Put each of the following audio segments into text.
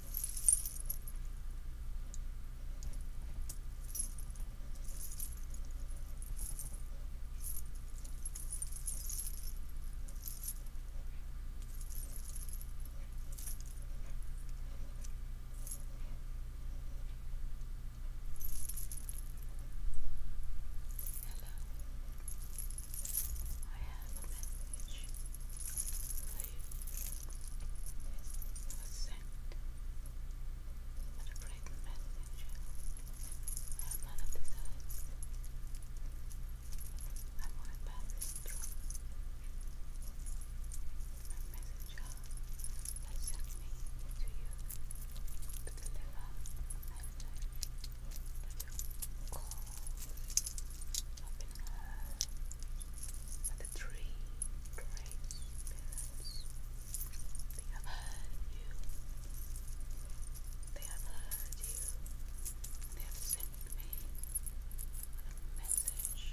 Hello. I have a message for was sent but a great messenger. I am none of this I'm only passing through. My messenger has sent me to you to deliver a message that will the tree great they have heard you, they have heard you, they have sent me a message for you.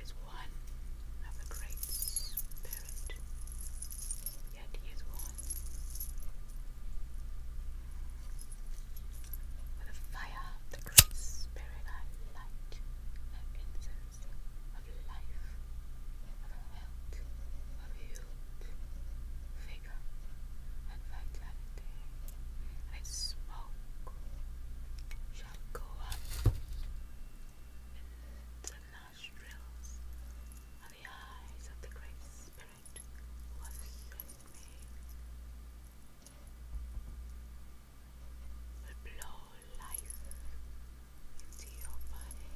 that is one of the great yet he is one. For the fire the great spirit I light that incense of life, of health, of youth, vigor, and vitality, and its smoke shall go up the nostrils of the eyes of the Great Spirit who has sent me, will blow life into your body,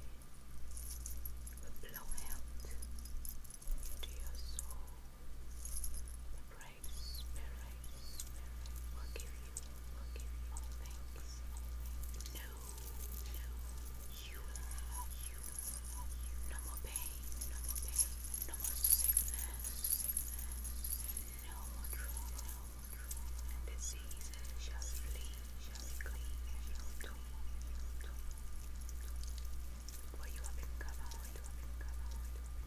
will blow health into your soul, paradise, Will give you, will give all things, No, no, you have, you will have. No more pain, no more pain, no more sickness, No more trouble, no more trouble. And disease shall flee, shall flee, shall do, shall do. What you have been what you you have been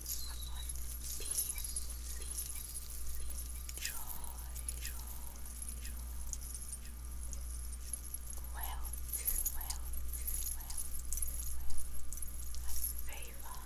peace, peace, joy, joy, joy, joy, wealth, wealth, wealth, wealth, favor,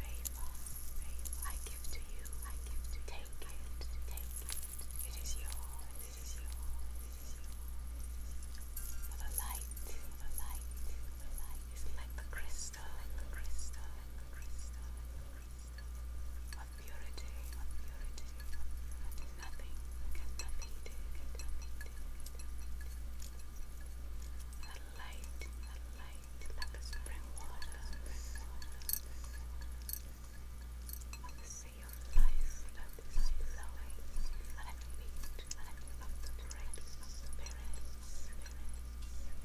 favor, favor. I give to you, I give to take it, take it. It is yours, it is yours, it is yours. For the light, for the light, the light is like the crystal crystal, crystal, crystal, crystal of purity, of purity, of Nothing can defeat it, light, the light, like the spring water, spring water. Of the of life that is flowing at the feet, at the feet of the great spirits, spirits.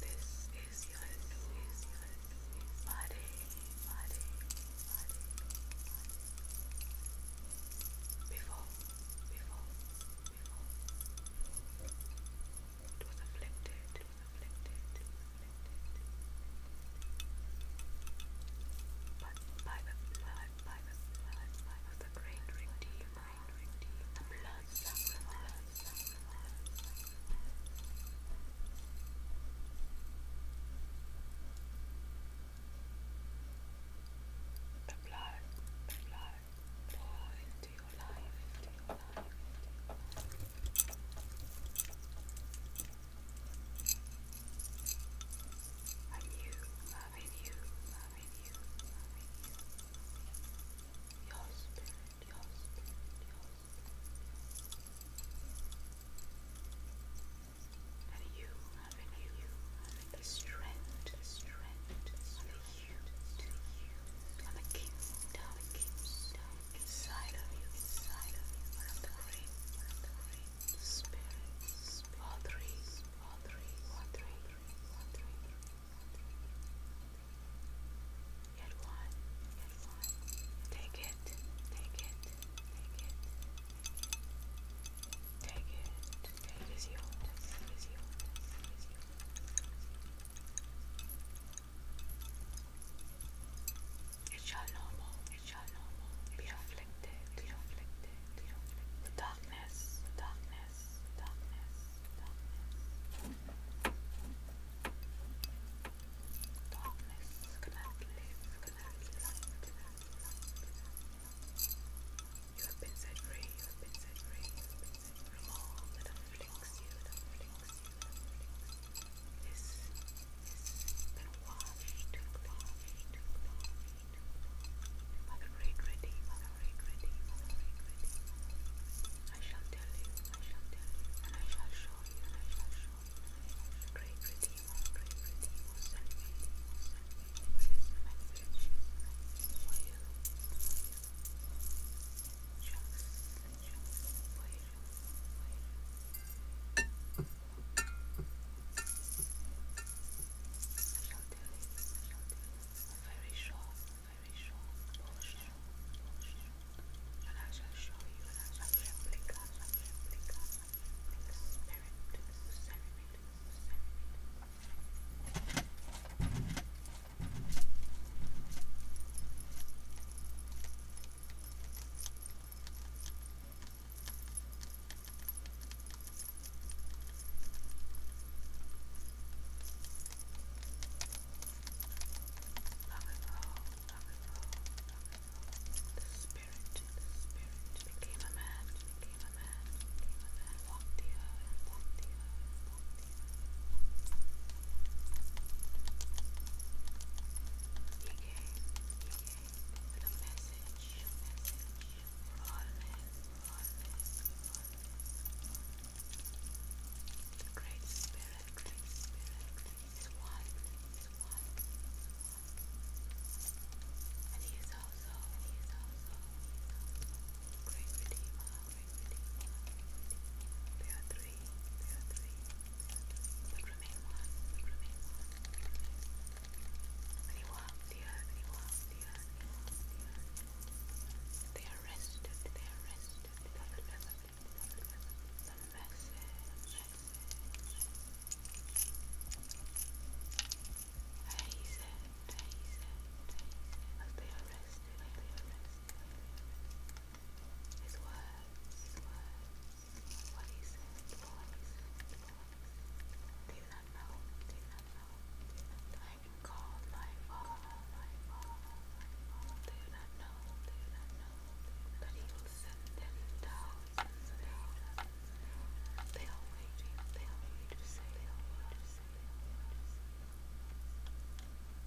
This is your new body, body, body. Before, before, before. It was afflicted, it was afflicted, it was afflicted. But by the by the by the great the blood The blood, the blood, pour The blood, the blood, the blood, the blood, the blood, the blood, the blood, the Loving you, loving you, loving you, loving you. Your spirit, your spirit, your spirit. And you, loving you, loving the strength, the strength, and the you, to you, and the kingdom, the kingdom, inside of you, inside of you, one of the great, one of the great spirits, all three, all three, yet one, yet one, take it, take it, take it, take it, take it is yours, it is yours, it is yours. It shall no more, be afflicted, be afflicted, be afflicted. The darkness, the darkness, the darkness, the darkness. Darkness cannot live, cannot live, cannot live. You have been set free, you have been set free, you have been set free. From all that afflicts you, that afflicts you, that afflicts you. This has been washed and washed and washed. Mother Regretty, Mother Regretty, Mother I shall tell you, I shall tell you, and I shall show you, I shall show you. Great Regretty, Mother Regretty will send me, will send me this message you very short, very short, short, and I shall show you and I shall replica, replica, replica, spirit, ceremony, ceremony. Now, the spirit, the spirit became a man, became a man, became a man, walked the earth, walked the earth, walked the earth with a message, message The Great Spirit, Great Spirit is one, is is one. And He is also, He is also, Great Redeemer, Great Redeemer. They are three, they are three, anyone, from anyone, from anyone, the the earth, They are they said, I said, they are rested, they are rested, his words. What is it? What is it? Do not know. Do not know. I can my father. My father. Do not know. Do not know. But he will send them down. They are waiting. They are waiting to say. They are waiting to say.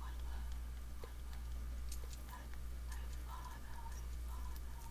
One word. One word. My father. My father.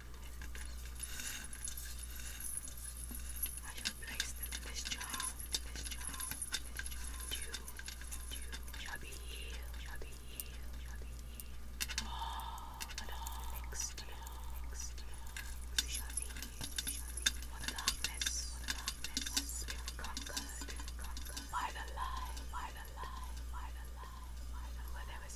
I shall place them in this jar, this jar, this jar. You, you shall be healed, shall be healed, shall be healed. Oh, but all next year, next year. You shall be healed, be conquered, conquered. By the light, by the light, by the light, by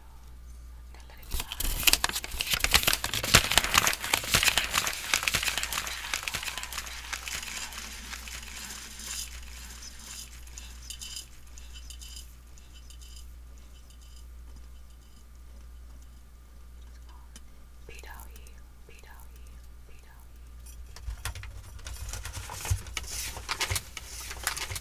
Now let it dry. Beat out you, beat out you, beat out you.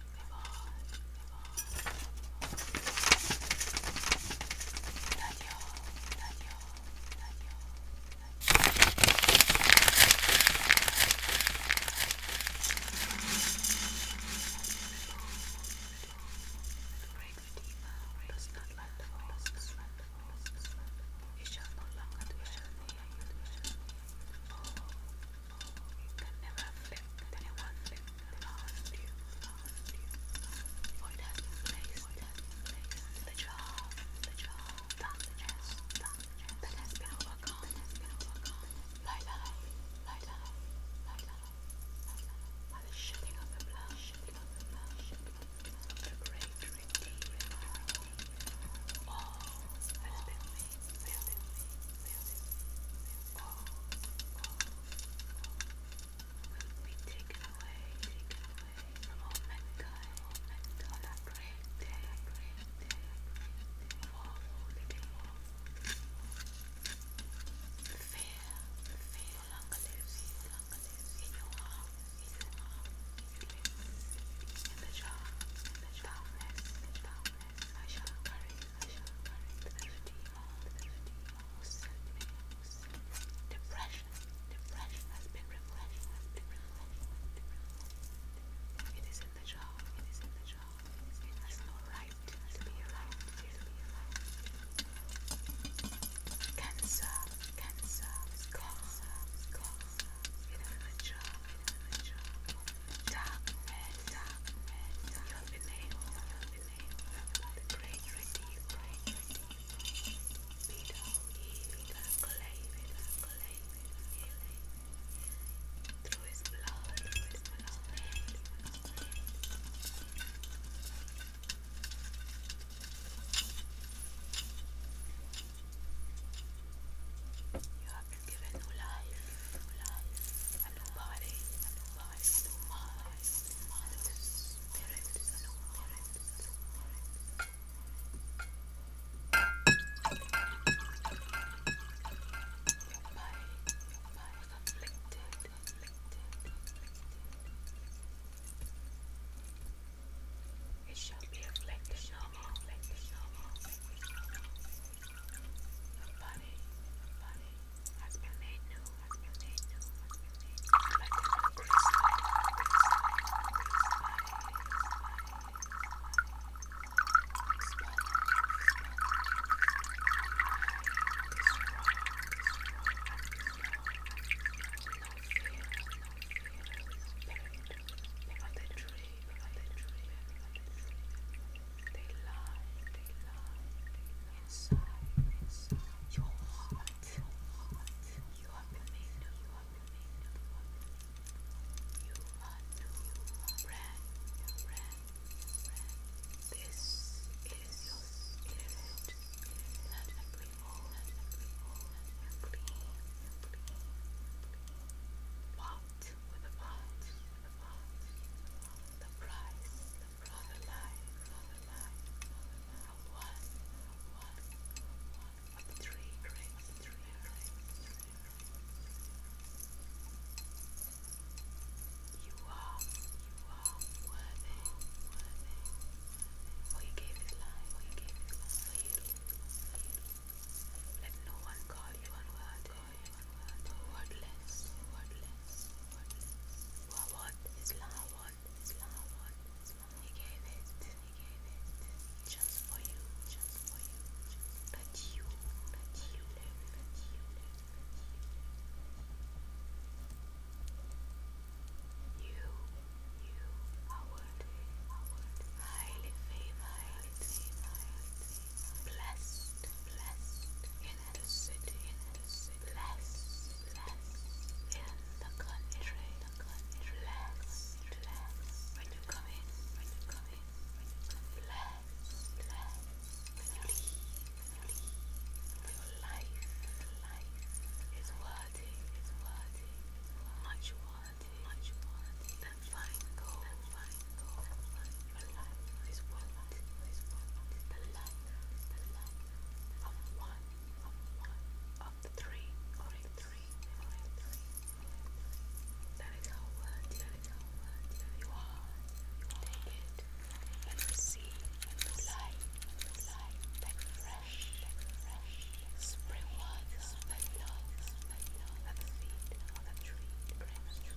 move on, move on, not your, not your, not your, does not like the voice, you shall no longer dwell near you, oh, that never affect anyone, that lost you, lost you, or it has been placed, or it has been placed, the job, the job, that has, that has been overcome, that has been overcome, lie, lie, lie, lie, lie, lie, by the shedding of the blood, shedding of the blood, shedding of the blood, the great redeemer, all that has been be taken away, taken away from all mankind, all that great day, great day, day of all living Fear, fear no longer lives, no longer lives in your heart, in you thirty, Depression, depression has been refreshed, has been refreshed. It is in the jaw, it is in the jaw. It has no right to be alive, to be alive. Cancer, cancer, cancer, cancer. It is in the jaw, it is in the jaw. Dark dark red, you have been able, you have been able, the great redeemer, great redeemer, Peter, healer, claiming, claiming, healing, through his blood, through his blood, through his blood. You have given you life, new life, life, a new mind, a new spirit, a new spirit, a new spirit. Your body, your body is afflicted, It shall be afflicted, shall be afflicted, shall be afflicted. The body, the body has been made new, has been made new, has been made new. Like a new grace body, grace body, grace body, grace body, grace body. No fear, no fear, spirit, but the truth. They lie, they lie, inside, your heart. You have made new, you have made new. You are new, brand, brand, brand. This is your spirit. Let it be all, let it be all, let it with a pot the price of a life, of a life, of one, of one, of three, of three, You are, you are worthy, worthy. For you gave his life, you life Let no one call you unworthy wordless, wordless, wordless. What, what is love? What is love? What is love? He gave it, he gave it, just for you, just for you, just you, that you live, that you you live. You, you, our, our, highly favored, highly favored blessed, blessed in the city, in the city, blessed, blessed in the country, the country, blessed, blessed when you come in, when you come in, when you come in, blessed, blessed when you your life, your life is worthy, is worthy, much worthy, much worthy and The light is one, is one, light, the light of one, of one, of the three, or three, or three. That is how word, that is how word, you are, you take it and receive the light, the light, that fresh, that fresh, spring water, that love, that love, that feed, that treat, breath.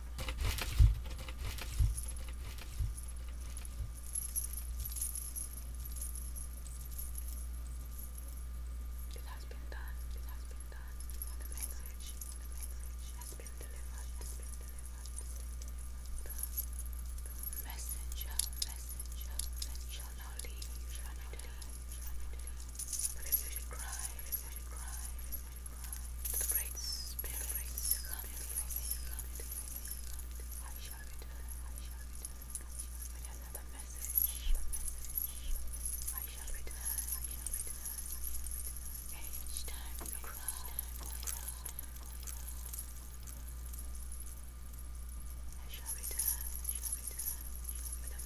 It has been done. It has been done. The message, the message has been delivered. Has been delivered. The messenger, messenger, messenger shall not leave. Shall not leave. Shall not leave. But if you should cry, if you should cry, to the great spirit, great spirit, I shall return, I shall return, with another message, I shall return, I shall return, each time you I shall return, I shall return,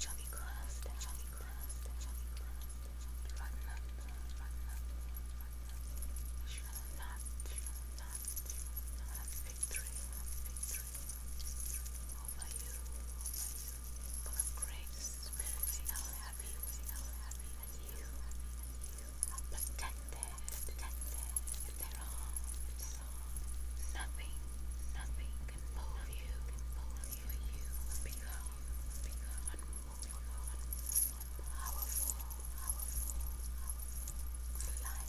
Chubby class, chubby class, chubby class, run up, run up, run up. Shall not, shall not, shall not victory, victory, over you, over you. Full grace, spirit, happy, now happy, and you, and you are protected this, nothing, nothing can move you, move you, you become, become unmovable, powerful, powerful, powerful, light, light.